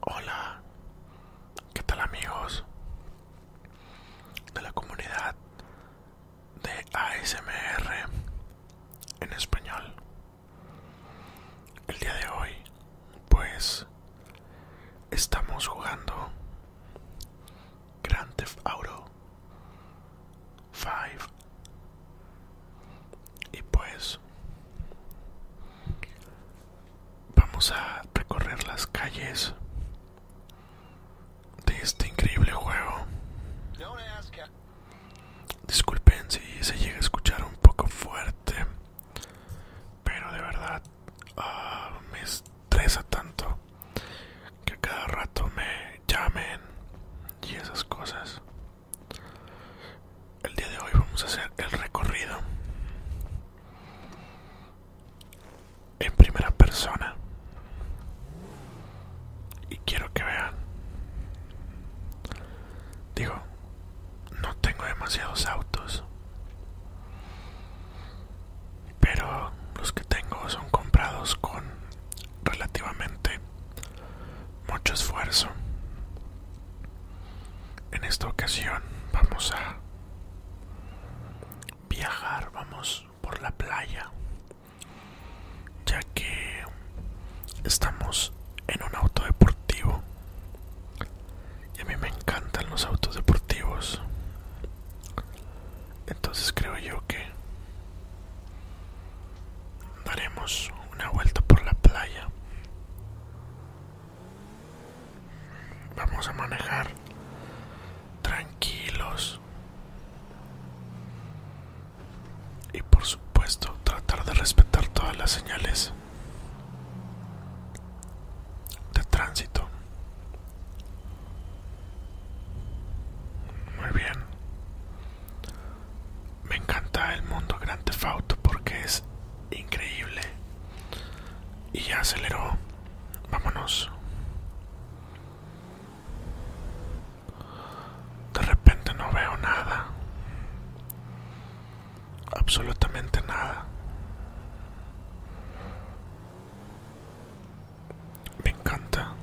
Hola, ¿qué tal amigos de la comunidad de ASMR en español? El día de hoy, pues, estamos jugando Grand Theft Auto Five. Y pues vamos a recorrer las calles de este increíble juego. Disculpen si se llega a escuchar un poco fuerte, pero de verdad ah, me estresa tanto que a cada rato me llamen y esas cosas. El día de hoy vamos a hacer el recorrido en primera persona y quiero que vean digo no tengo demasiados autos pero los que tengo son comprados con relativamente mucho esfuerzo. En esta ocasión vamos a viajar, vamos por la playa, ya que estamos en un auto deportivo y a mí me encantan los autos deportivos. Entonces creo yo que Daremos una vuelta por la playa. Vamos a manejar tranquilos. Y por supuesto, tratar de respetar todas las señales de tránsito. Muy bien. Me encanta el mundo grande Theft porque es increíble. Y ya aceleró. Vámonos. De repente no veo nada. Absolutamente nada. Me encanta.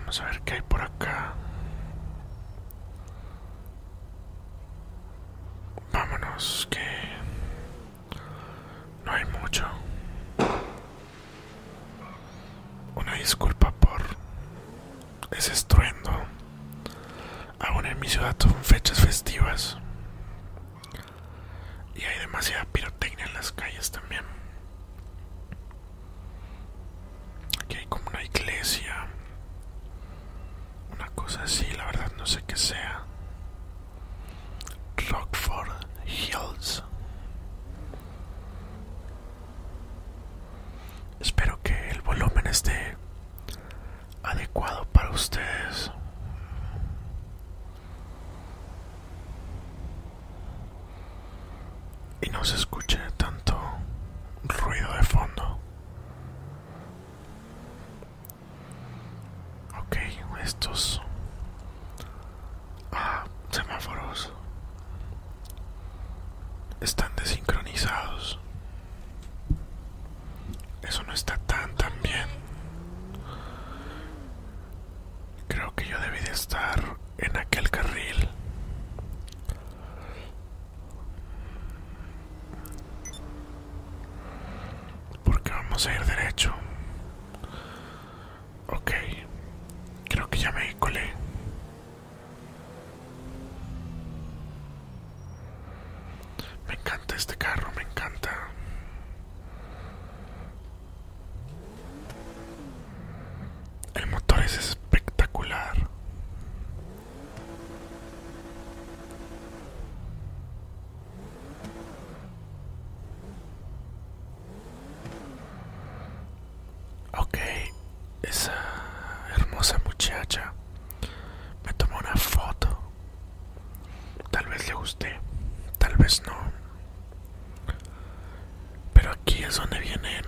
Vamos a ver qué hay por acá. Vámonos, que no hay mucho. Una disculpa por ese estruendo. Aún en mi ciudad son fechas festivas. Y hay demasiada pirotecnia en las calles también. Aquí hay como una iglesia. Una cosa así, la verdad no sé qué sea. Rockford Hills. Espero que el volumen esté adecuado para ustedes y no se escuche tanto ruido de fondo. Okay, estos ah, semáforos están desincronizados. Eso no está tan tan bien. Creo que yo debí de estar en aquel carril. Porque vamos a ir derecho. Ok, creo que ya me colé. Me encanta este carro, me encanta. El motor es espectacular. Ok, esa hermosa muchacha me tomó una foto. Tal vez le guste, tal vez no. Pero aquí es donde vienen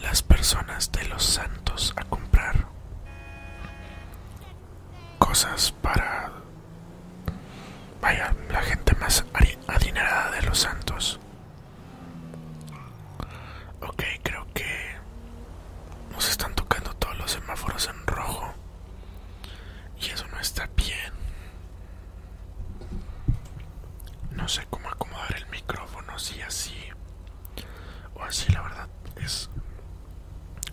las personas de los santos a comprar cosas para... Vaya, la gente más adinerada de los santos. Ok, creo que nos están tocando todos los semáforos en rojo. Y eso no está bien. No sé cómo acomodar el micrófono, si así o así, la verdad es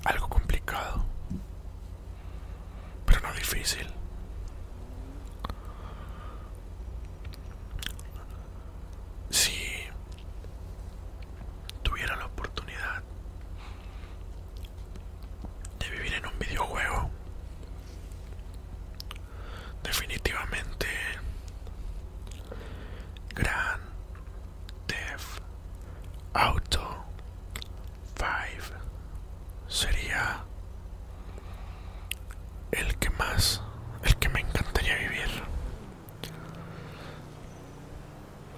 algo complicado, pero no difícil. Si tuviera la oportunidad de vivir en un videojuego. Definitivamente Grand Theft Auto 5 sería el que más, el que me encantaría vivir.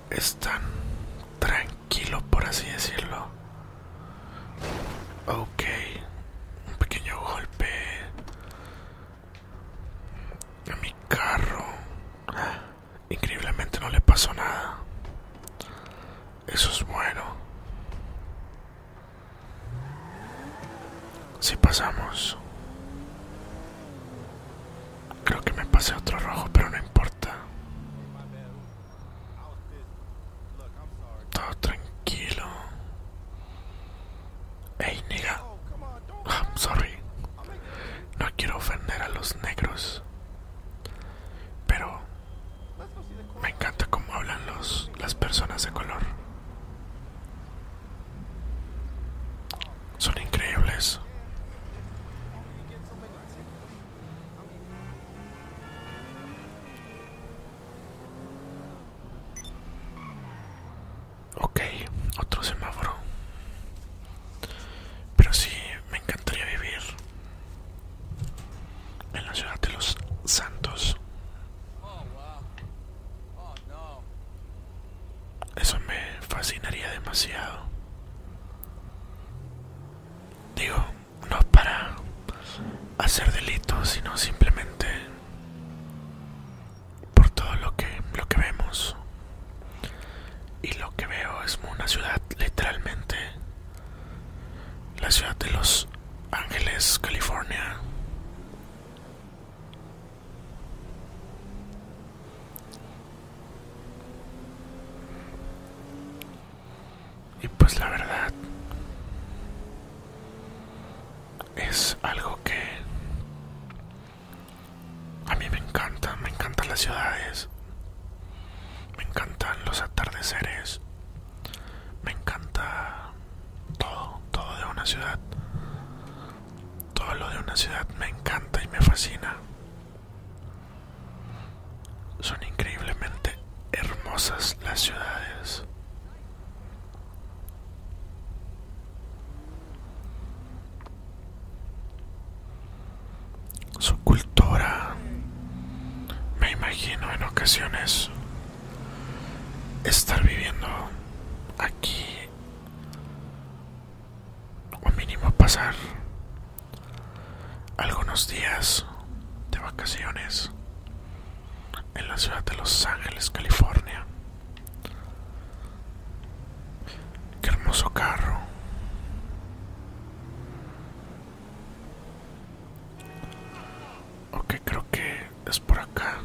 Es tan tranquilo Kilo, por así decirlo. Ok, un pequeño golpe a mi carro. Increíblemente no le pasó nada. Eso es bueno. Si pasamos. Creo que me pasé otro rojo, pero no importa. Todo tranquilo. Ey, nigga. Ah, sorry. No quiero ofender a los negros. Pero me encanta cómo hablan los, las personas de color. Son increíbles. Ok, otro semáforo. Pero sí, me encantaría vivir en la ciudad de los santos. Eso me fascinaría demasiado. Digo, no para hacer delitos, sino simplemente por todo lo que, lo que vemos. Y lo que veo es una ciudad, literalmente, la ciudad de Los Ángeles, California. Y pues la verdad es algo que a mí me encanta, me encantan las ciudades, me encantan los atardeceres, me encanta todo, todo de una ciudad. Todo lo de una ciudad me encanta y me fascina. Son increíblemente hermosas las ciudades. Su cultura, me imagino en ocasiones, estar viviendo aquí o mínimo pasar algunos días de vacaciones en la ciudad de Los Ángeles, California. Qué hermoso carro. Ok, creo que es por acá.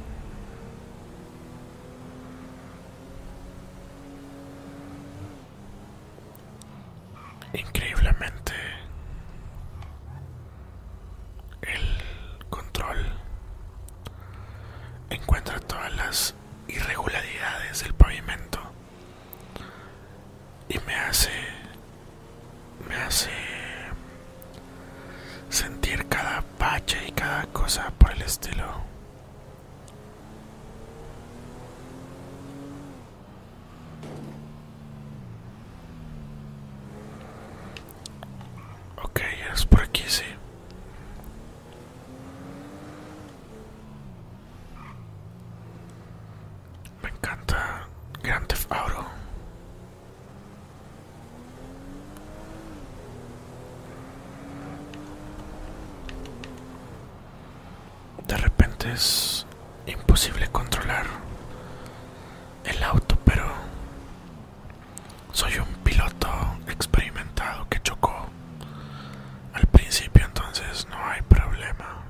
Increíblemente, el control encuentra todas las irregularidades del pavimento y me hace sentir cada pache y cada cosa por el estilo Ok, es por aquí, sí. Me encanta Grand Theft de repente es imposible controlar el auto, pero soy un piloto experimentado que chocó al principio, entonces no hay problema.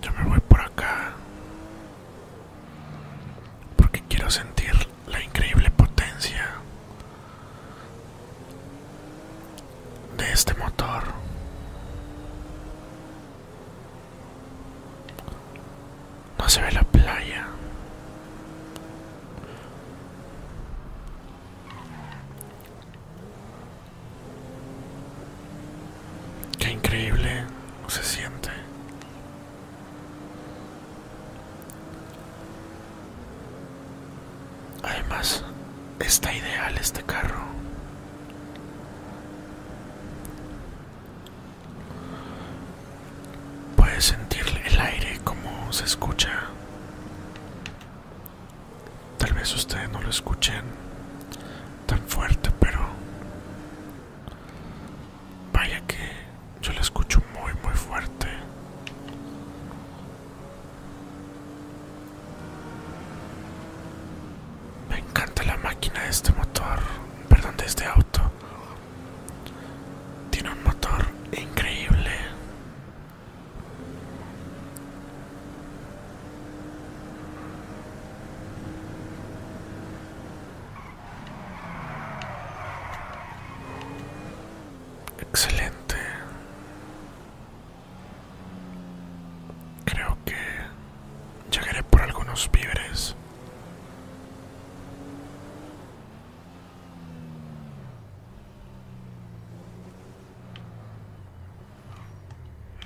Yo me voy por acá porque quiero sentir la increíble potencia de este motor no se ve la playa qué increíble se siente Además, está ideal este carro. Puedes sentir el aire como se escucha. Tal vez ustedes no lo escuchen tan fuerte, pero vaya que yo lo escucho muy muy fuerte. Me encanta la máquina de este motor, perdón, de este auto. Tiene un motor increíble. Excelente. Creo que llegaré por algunos víveres.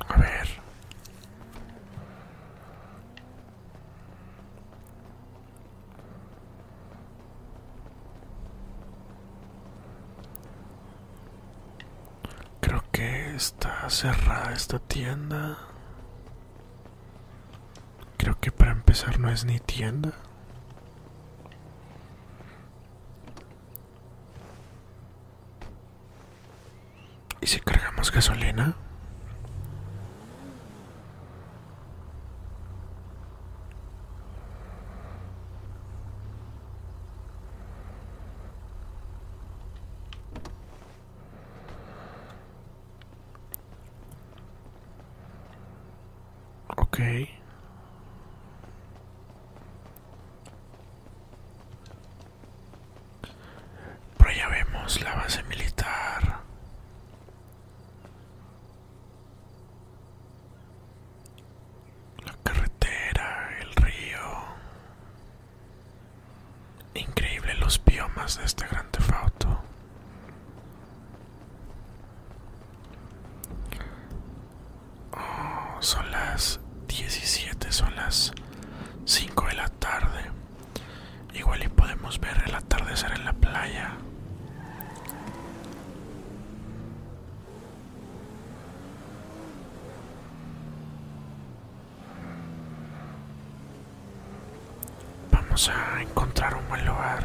A ver. Creo que está cerrada esta tienda. Creo que para empezar no es ni tienda. ¿Y si cargamos gasolina? Ok. Pero vemos la base militar la carretera, el río. Increíble los biomas de este gran tefauto. Oh, son las 17, son las 5 de la tarde. Igual y podemos ver el atardecer en la playa. Vamos a encontrar un buen lugar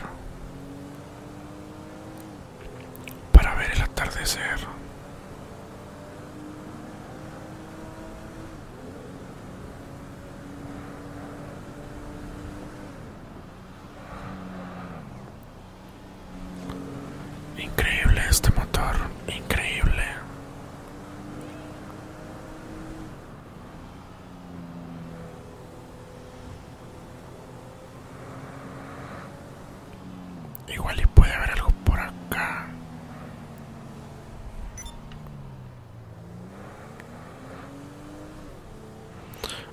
para ver el atardecer. Increíble este motor, increíble. Igual y puede haber algo por acá.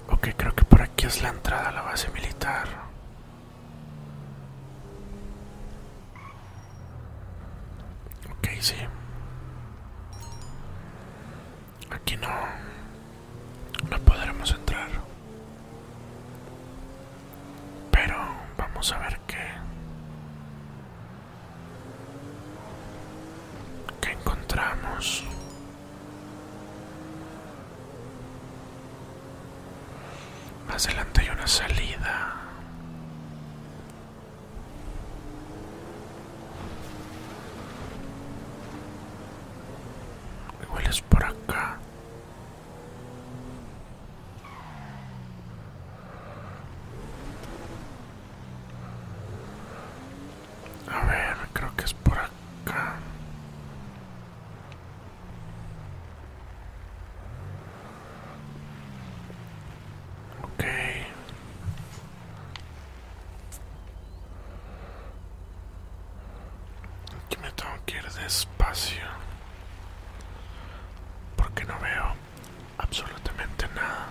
Ok, creo que por aquí es la entrada a la base militar. Ok, sí. Aquí no. No podremos entrar. Pero vamos a ver qué. ¿Qué encontramos? Más adelante hay una salida. Igual es por acá. A ver, creo que es por acá. Ok. Aquí me tengo que ir despacio. Porque no veo absolutamente nada.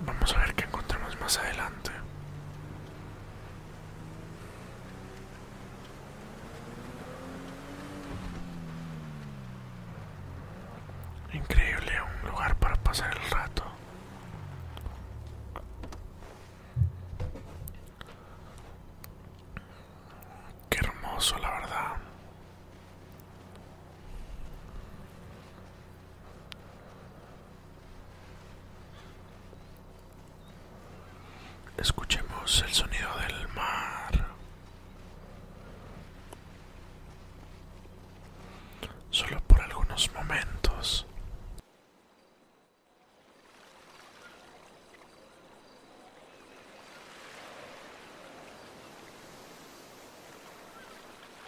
Vamos a ver qué encontramos más adelante. Increíble, un lugar para pasar el rato. Qué hermoso, la verdad. Escuchemos el sonido del mar. Solo por algunos momentos.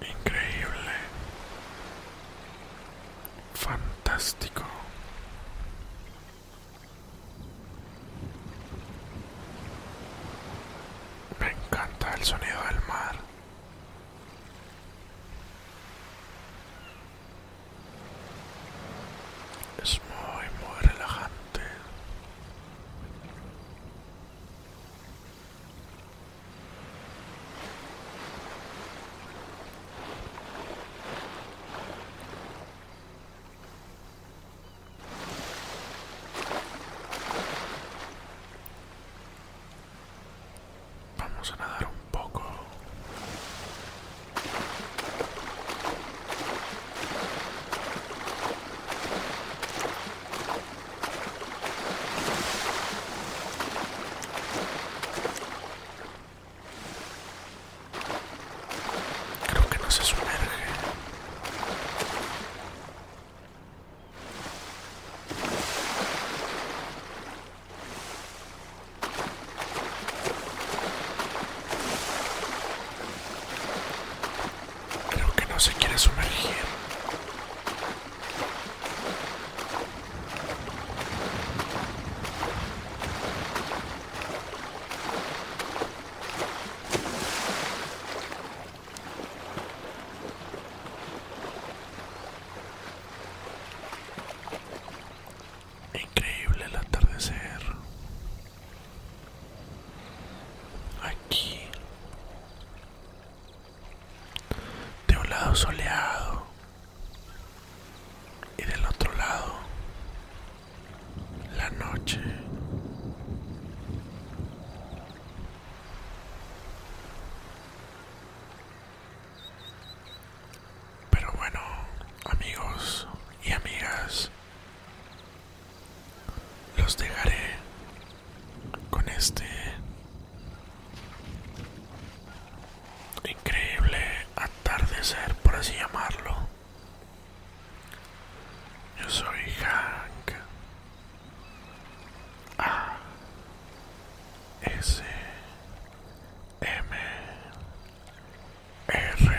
Increíble. Fan Fantástico. Me encanta el sonido del mar. Es muy, muy relajante. Vamos a nadar un poco. Creo que no se sumerge. Creo que no se quiere sumergir. Increíble el atardecer aquí de un lado soleado y del otro lado la noche. Pero bueno, amigos y amigas, los dejaré con este increíble atardecer, por así llamarlo. Yo soy Hank. A. S. M. R.